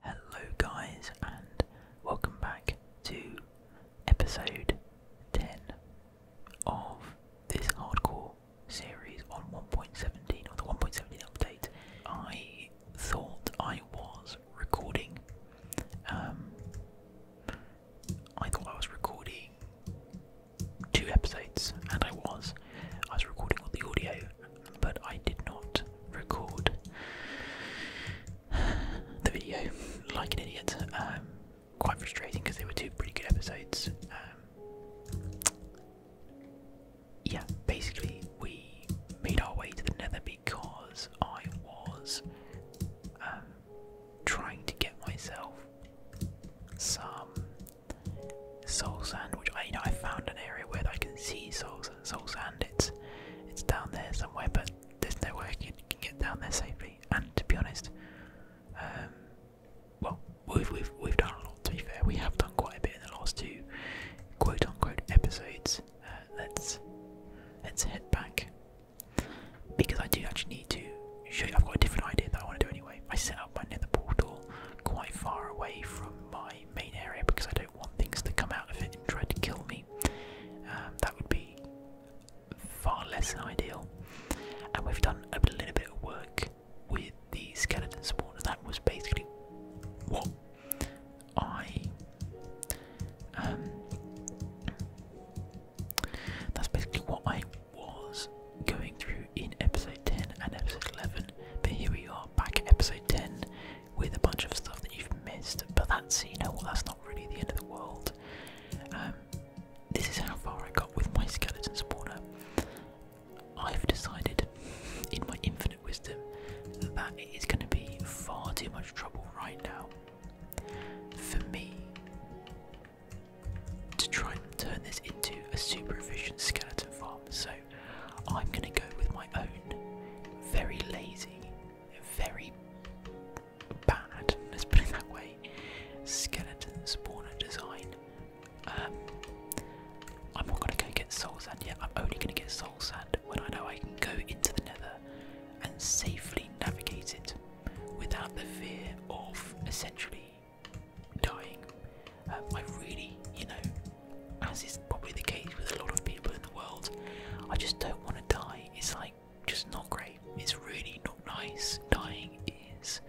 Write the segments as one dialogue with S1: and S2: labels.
S1: Hello, guys, and welcome back to episode 10 of this hardcore series on 1.17 or the 1.17 update. I thought I was recording, um, I thought I was recording two episodes, and I was. I was recording all the audio but I did not record the video like an idiot. Um, quite frustrating because they were two pretty good episodes. Um, yeah, basically, we made our way to the nether because I was um, trying to get myself some soul sand, which I, found an area where I can see soul soul sand. It's it's down there somewhere, but there's no way you can get down there safely. And to be honest, um, well, we've we've we've done a lot. To be fair, we have done quite a bit in the last two quote unquote episodes. Uh, let's let's head back because I do actually need to show you. I've got a different idea that I want to do anyway. I set up my nether portal quite far away from my main area because I don't want things to come out of it and try to kill me. Um, that would be far less than ideal. And we've done a little bit of work with the skeleton spawner. That was basically what I. Um, that's basically what I was going through in episode 10 and episode 11. But here we are back at episode 10 with a bunch of stuff that you've missed. But that's you know that's not really the end of the world. Um, this is how far I got with my skeleton spawner. I've decided, in my infinite wisdom, that it is going to be far too much trouble right now for me to try and turn this into a super efficient skeleton farm. So I'm going to go with my own very lazy, very bad, let's put it that way, skeleton spawner design. Um, I'm not going to go get soul sand yet, I'm only going to get soul sand when I know I can go into the nether and safely navigate it without the fear of essentially dying um, I really, you know, as is probably the case with a lot of people in the world, I just don't want to die. It's like just not great. It's really not nice. Dying is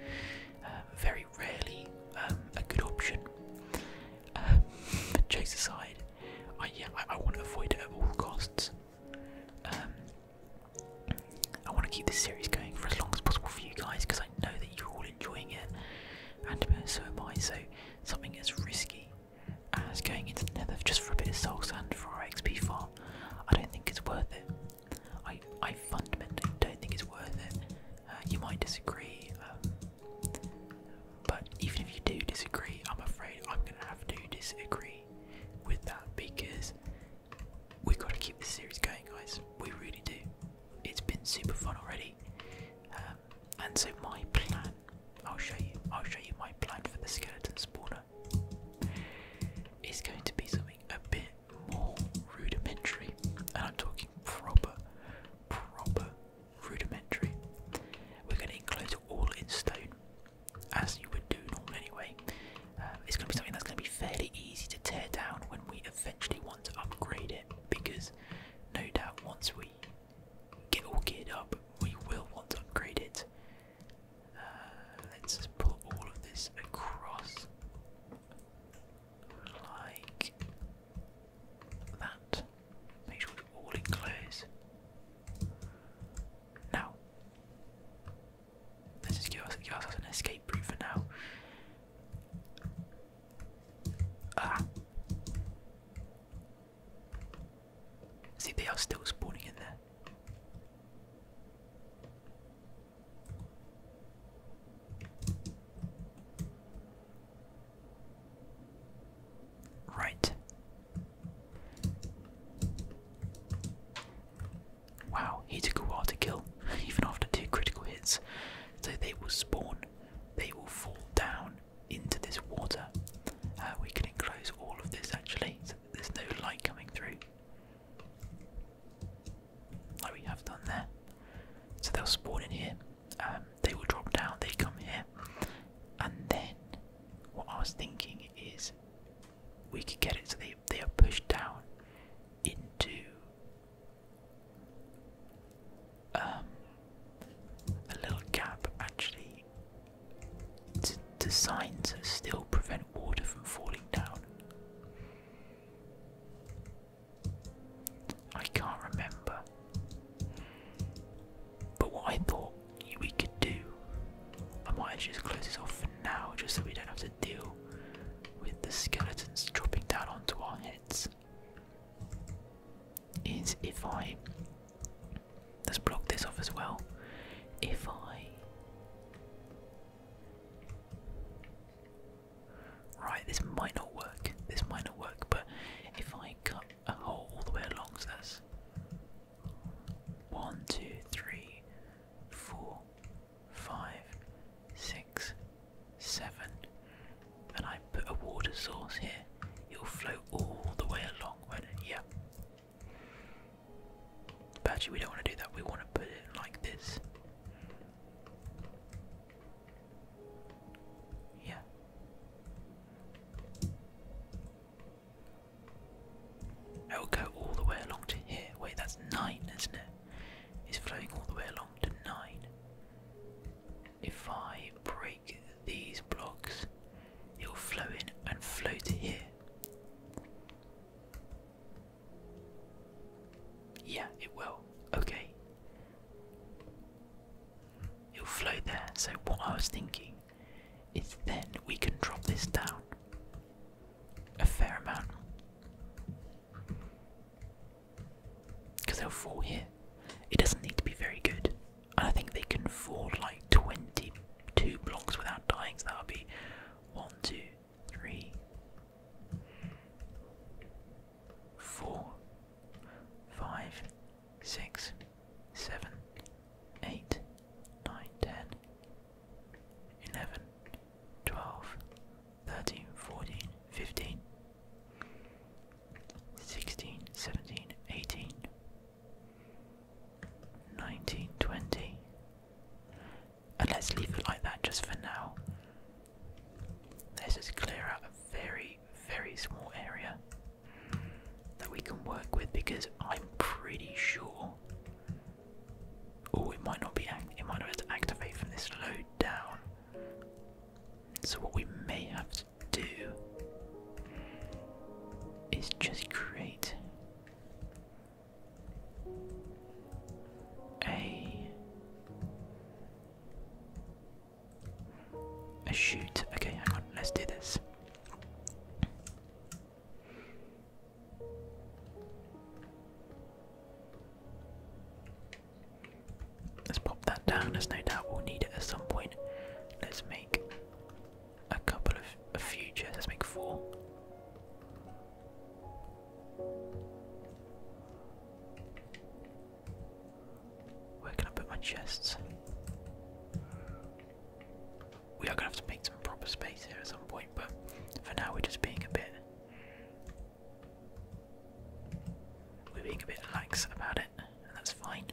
S1: um, very rarely um, a good option. Um, but jokes aside, I, yeah, I, want to avoid it at all costs. I want to keep this series going for as long as possible for you guys because I know that you're all enjoying it, and uh, so am I. So something as risky as going into the Nether just for a bit of soul sand for XP farm, I don't think it's worth it. I I fundamentally don't think it's worth it. Uh, you might disagree, um, but even if you do disagree, I'm afraid I'm gonna have to disagree with that because we've got to keep this series going, guys. We really do. It's been super fun already. Um, and so my plan, I'll show you, I'll show you my plan for the skeleton spawner. Is going to be something a bit more rudimentary, and I'm talking proper, proper rudimentary. We're going to include it all in stone, as you would do normally anyway. Um, it's going to be something that's going to be fairly easy to tear down when we eventually want to upgrade it, because no doubt once we get all geared up, we will want to upgrade it. Uh, let's pull all of this across like that. Make sure it's all enclosed. Now, let's just give ourselves an escape route for now. Ah. See, they are still spawning in there. Right. Wow, he took a while to kill, even after two critical hits. So they will spawn they will fall down into this water. Uh, we can enclose all of this actually, so that there's no light coming through, like we have done there. So they'll spawn in here, um, they will drop down, they come here, and then what I was thinking is we could get it so they, they are pushed down into um, a little gap actually to design still prevent water from falling down. I can't remember. But what I thought we could do, I might actually just close this off for now just so we don't have to deal with the skeletons dropping down onto our heads is if I let's block this off as well. If I right, this might not work. This might not work, but if I cut a hole all the way along, so one, two, three, four, five, six, seven. And I put a water source here. It'll flow all the way along when yeah. But actually we don't want to do that, we want to put it like this. Yeah. It'll go all the way along to here. Wait, that's nine, isn't it? It's flowing all the way along to nine. If I break these blocks, it will flow in and flow to here. Yeah, it will. Okay. It'll flow there. So, what I was thinking is then we can drop this down a fair amount. Because they'll fall here. It doesn't need to be very good. And I think they can fall like 22 blocks without dying, so that'll be 1, 2, 3, 4, 5, 6, 7, 8, 9, 10, 11, 12, 13, 14, 15, 16, 17, 18, 19, 20. And let's leave it like that just for now. Let's just clear out a very, very small area that we can work with because I'm pretty sure. Oh, it might not be. Act might not have to activate from this load down. So, what we may have to do is just create a a shoot. Okay, hang on, let's do this. Let's pop that down, There's no doubt we'll need it at some point. Let's make a couple of a few chairs. Let's make four. Where can I put my chests? We are gonna have to make some proper space here at some point, but for now we're just being a bit we're being a bit lax about it, and that's fine.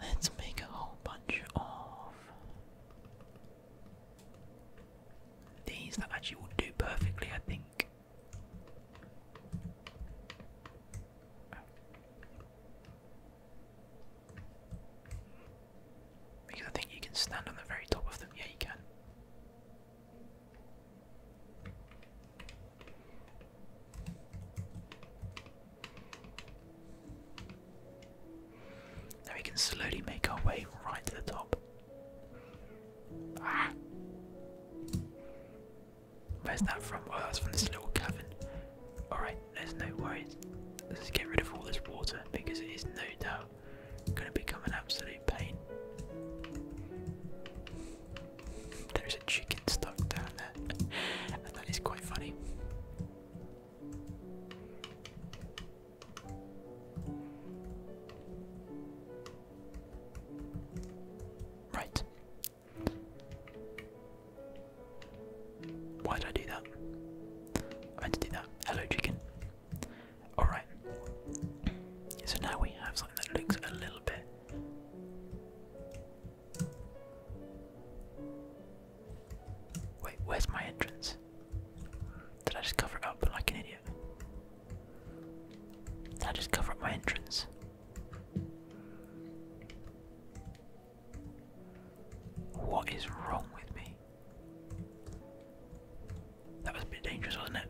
S1: Let's make a whole bunch of these that actually will do perfectly, I think. Because I think you can stand on the very top of them. Yeah, you can. Now we can slowly make our way right to the top. Ah. Where's that from? Oh, that's from this little cavern. Alright, there's no worries. Let's get rid of all this water because it is no doubt gonna become an absolute pain. There's a chicken stuck down there, and that is quite funny. Right. Why did I do that? I meant to do that. Hello, chicken. Alright. So now we have something that looks a little bit. Wait, where's my entrance? Did I just cover it up like an idiot? Did I just cover up my entrance? What is wrong with me? That was a bit dangerous, wasn't it?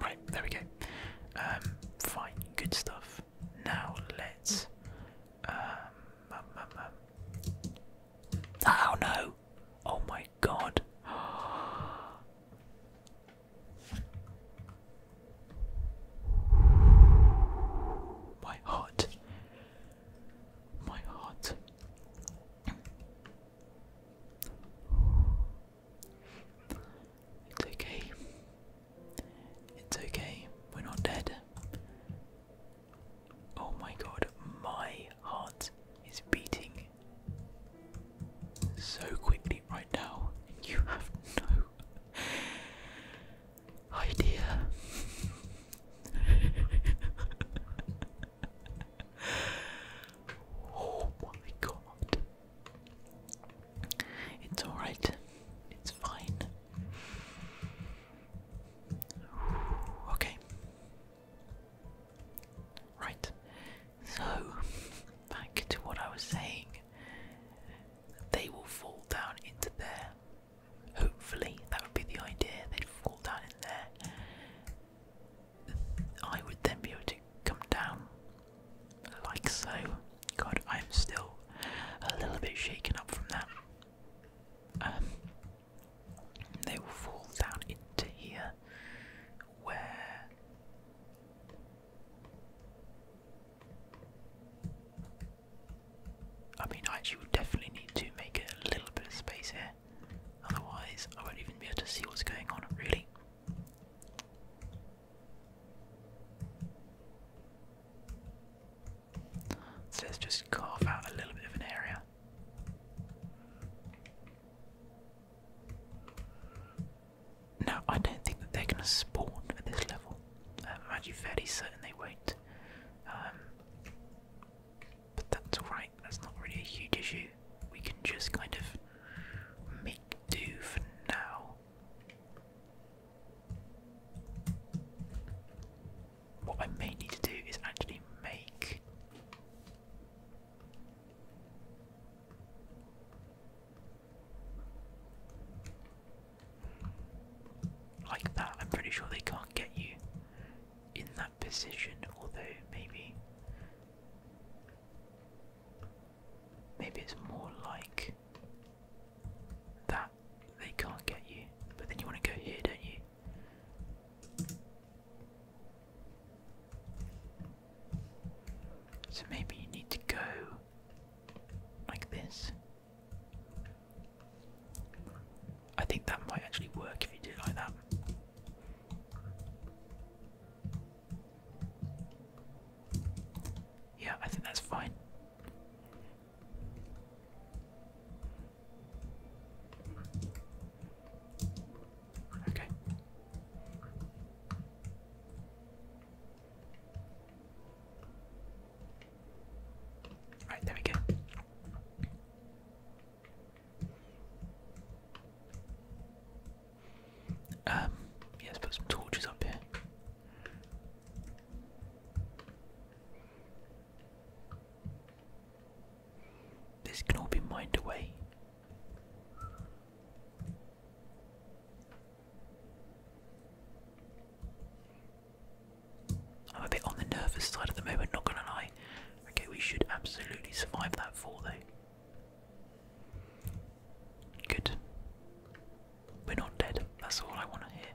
S1: right, there we go. Um, fine, good stuff. Now let's. Um, um, ah, oh no! Oh my god! My heart my heart. It's okay. It's okay. We're not dead. Oh my god, my heart is beating so quickly right now. You have no idea. Oh, oh my god. It's alright. It's fine. Okay. Right. So, back to what I was saying. They will fall down into there. Hopefully, that would be the idea. They'd fall down in there. I would then be able to come down like so. God, I'm still a little bit shaken up from that. Um, they will fall down into here where I mean, I actually would definitely need to make a little bit of space here, otherwise, I won't even be able to see what's going on, really. let's just carve out a little bit of an area. Now, I don't think that they're going to spawn at this level. Um, I'm actually fairly certain they won't. Um, but that's alright, that's not really a huge issue. We can just kind of make do for now. What I may need to do is actually make. Like that, I'm pretty sure they can't get you in that position, although maybe. Maybe it's more like that they can't get you, but then you want to go here, don't you? So maybe you need to go like this. I think that might actually work if you do it like that. Yeah, I think that's fine. Okay. Alright, there we go. Um, yeah, let's put torches up here. This can all be mined away. I'm a bit on the nervous side at the moment, not gonna lie. Okay, we should absolutely survive that fall though. Good. We're not dead, that's all I wanna hear.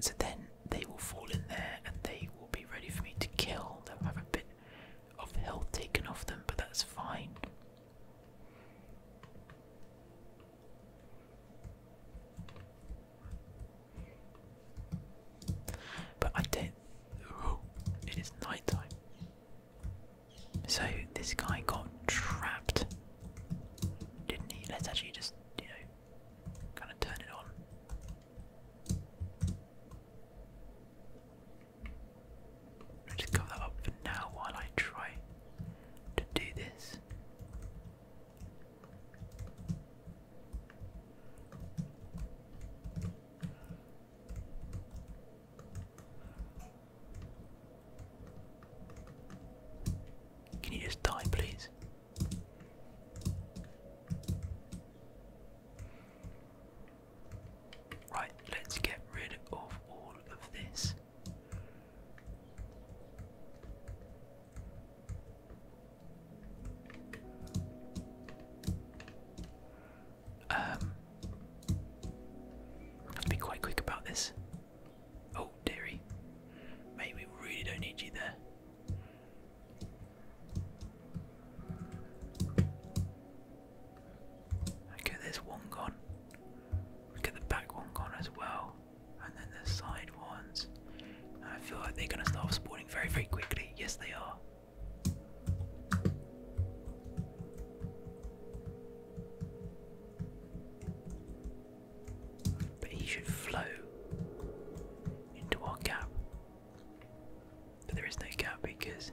S1: So then they will fall in there and they will be ready for me to kill. They'll have a bit of health taken off them, but that's fine. But I did. it is night So this guy got trapped, didn't he? Let's actually just, you know, kind of turn it on. I'll just cover that up for now while I try to do this. Can you just die, please? Right, let's get rid of all of this. Um, have be quite quick about this. Oh, dearie. Maybe we really don't need you there. Okay, there's one gone. Look at the back one gone as well. And then the side ones. I feel like they're gonna start spawning very, very quickly. Yes they are. But he should flow into our gap. But there is no gap because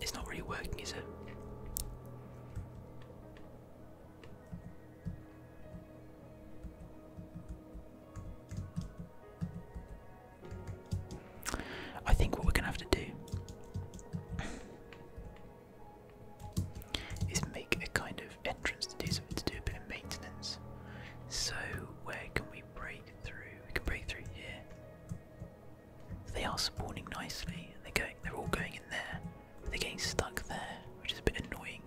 S1: It's not really working, is it? I think what we're going to have to do is make a kind of entrance to do something to do a bit of maintenance. So where can we break through? We can break through here. they are spawning nicely, and they're going they're all going in there. But they're getting stuck there, which is a bit annoying.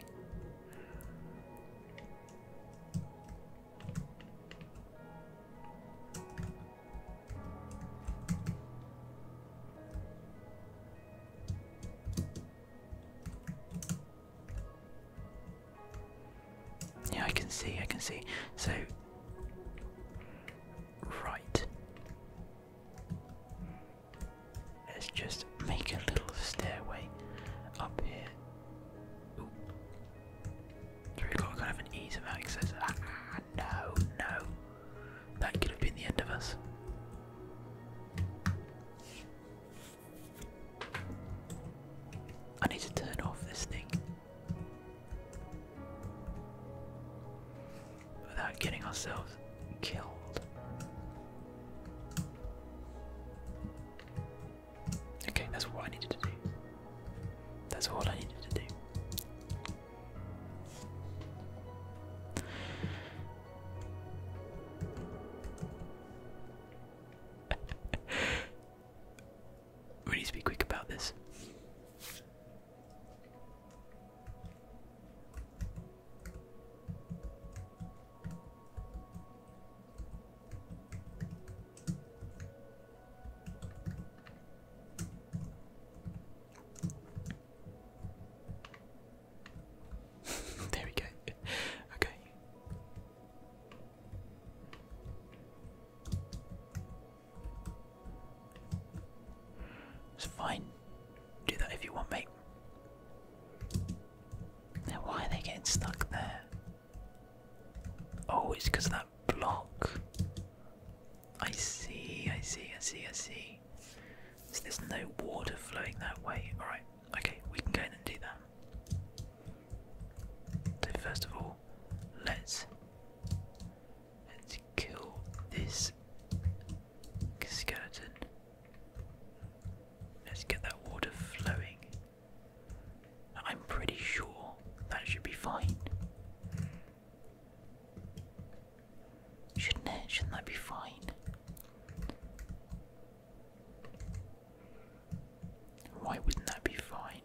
S1: Yeah, I can see, I can see. So, right. Let's just make a little stairway up here. we've got kind of an ease of access. Ah, no, no. That could have been the end of us. I need to turn off this thing without getting ourselves killed. Okay, that's what I needed to do. That's all I needed to do. we need to be quick about this. there we go. okay. It's fine. Do that if you want, me. Now, why are they getting stuck there? Oh, it's because of that block. I see, I see, I see, I see. So there's no water flowing that way. Alright. Okay, we can go in and do that. So first of all, let's let's kill this skeleton. Let's get that water flowing. I'm pretty sure that should be fine. Shouldn't it? Shouldn't that be fine? Why wouldn't that be fine?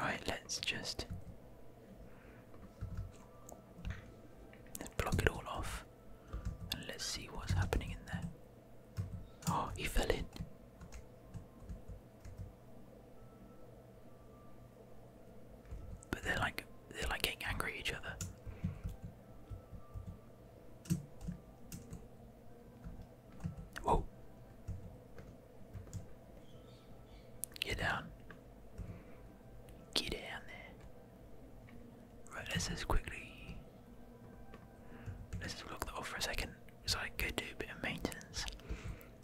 S1: Right, let's just let block it all off and let's see what's happening in there. Oh, he fell in. But they're like they're like getting angry each other. Whoa. Get down. Get down there. Right, let's just quickly. Let's just lock that off for a second so I can go do a bit of maintenance.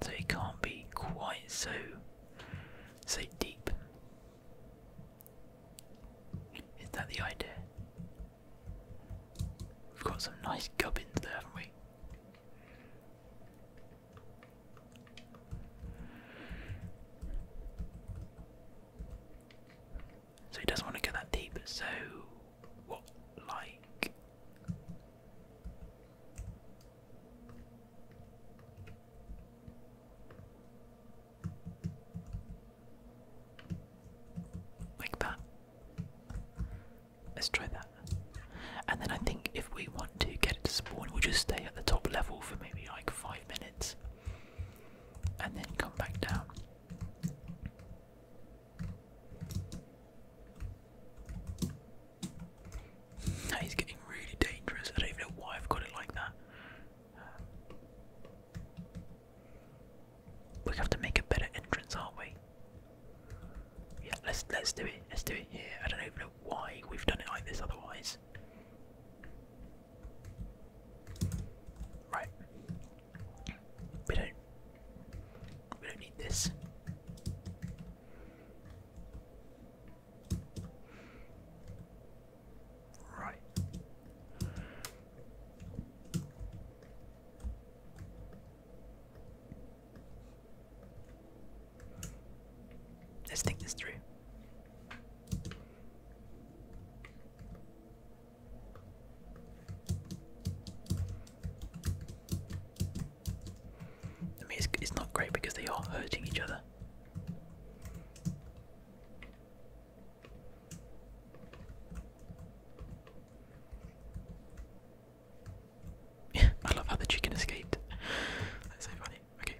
S1: So it can't be quite so so deep. Is that the idea? We've got some nice gubbins there, haven't we? So he doesn't want to get that deep, so what like like that. Let's try that. And then I think if we want to get it to spawn, we'll just stay at the top level for maybe like five minutes and then come back down. That is getting really dangerous. I don't know why I've got it like that. We have to make a better entrance, aren't we? Yeah, let's let's do it. Let's do it here. I don't know why we've done it like this otherwise. Right. We don't we don't need this. Right. Let's think this through. I mean, it's, it's not great because they are hurting each other. I love how the chicken escaped. That's so funny. Okay.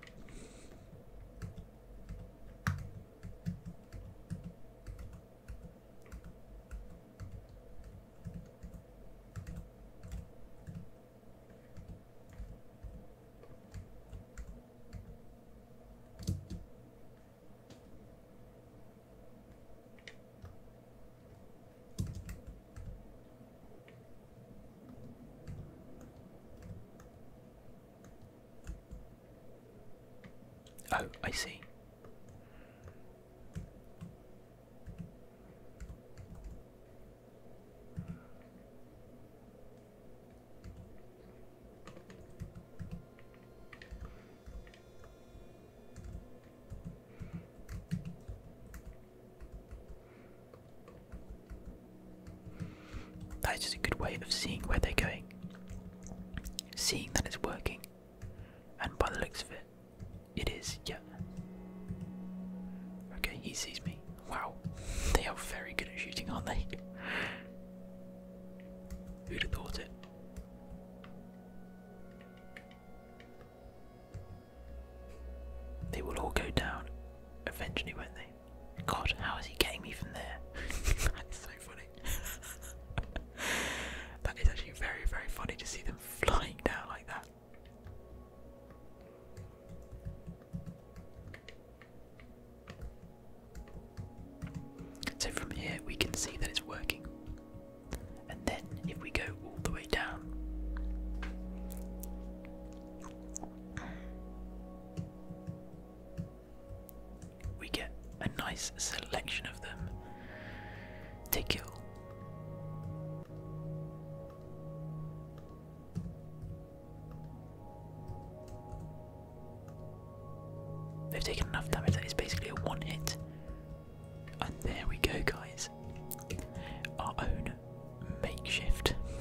S1: Oh, I see. That is just a good way of seeing where they're going, seeing that it's working, and by the looks of it, it is, yeah. Okay, he sees me. Wow, they are very good at shooting, aren't they? Who'd have thought it? They will all go down eventually, won't they? God, how is he getting me from there? that is so funny. that is actually very, very funny to see them flying down like that. So from here we can see that it's working and then if we go all the way down we get a nice selection of them to kill. They've taken enough damage that it's basically a one hit and there we go, guys. Our own makeshift,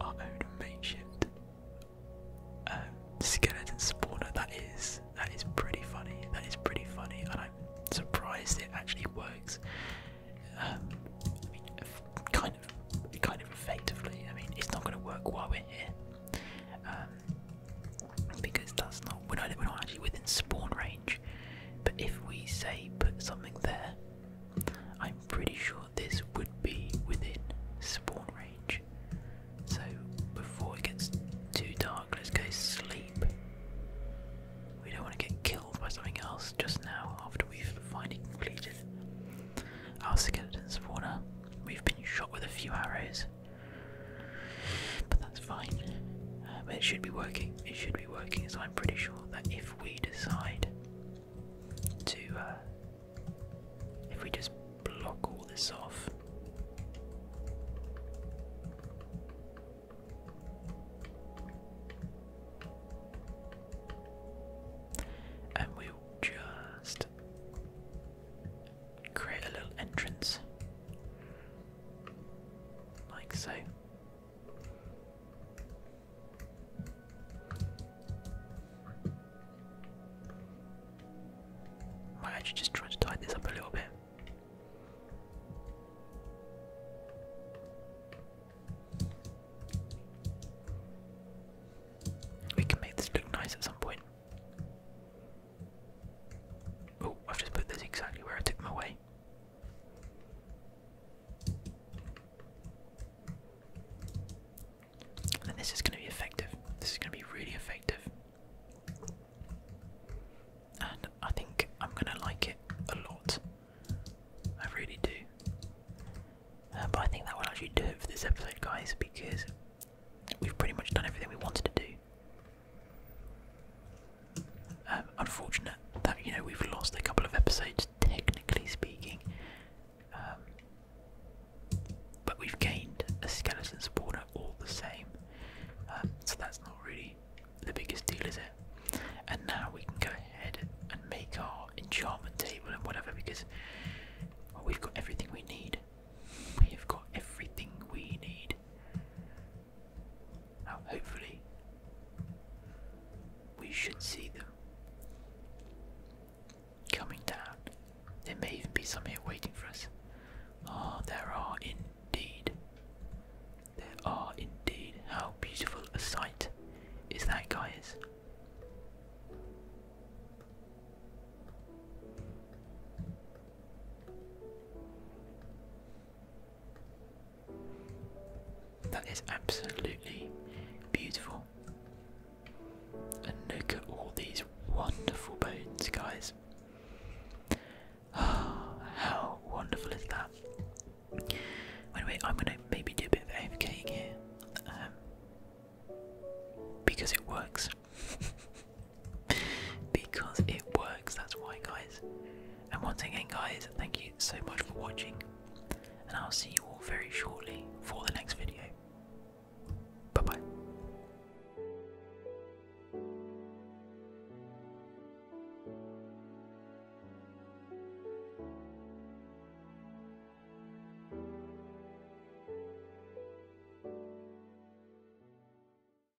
S1: our own makeshift um, skeleton spawner. That is that is pretty funny. That is pretty funny, and I'm surprised it actually works. Um, kind of, kind of effectively. I mean, it's not going to work while we're here, um, because that's not we're not actually within spawn range. But if we say put something there, I'm pretty sure this would be within spawn range. So before it gets too dark, let's go sleep. We don't want to get killed by something else just now after we've finally completed our skeleton spawner. We've been shot with a few arrows, but that's that's fine. Uh, but it should be working. It should be working. So I'm pretty sure that if we decide to, uh, if we just block all this off. And we just create a little entrance like so. Why Might you just try to tighten this up a little bit. We can make this look nice at some point. Oh, I've just put this exactly where I took them away. And this is going to be effective. This is going to be really effective. And I think I'm going to like it a lot. I really do. Uh, but I think that will actually do it for this episode, guys, because we've pretty much done everything we wanted to do. Um, unfortunate that you know we've lost a couple of episodes, technically speaking, um, but we've gained a skeleton supporter all the same. Um, so that's not really the biggest deal, is it? And now we can go ahead and make our enchantment table and whatever because we've got everything we need. We have got everything we need hopefully, we should see them coming down. There may even be some here waiting for us. Ah, there are indeed. There are indeed. How beautiful a sight is that, guys? That is absolutely beautiful. And look at all these wonderful bones, guys. Oh, how wonderful is that? Anyway, I'm gonna maybe do a bit of AFKing here um, because it works. because it works. That's why, guys. And once again, guys, thank you so much for watching, and I'll see you all very shortly for the next video. Bye bye.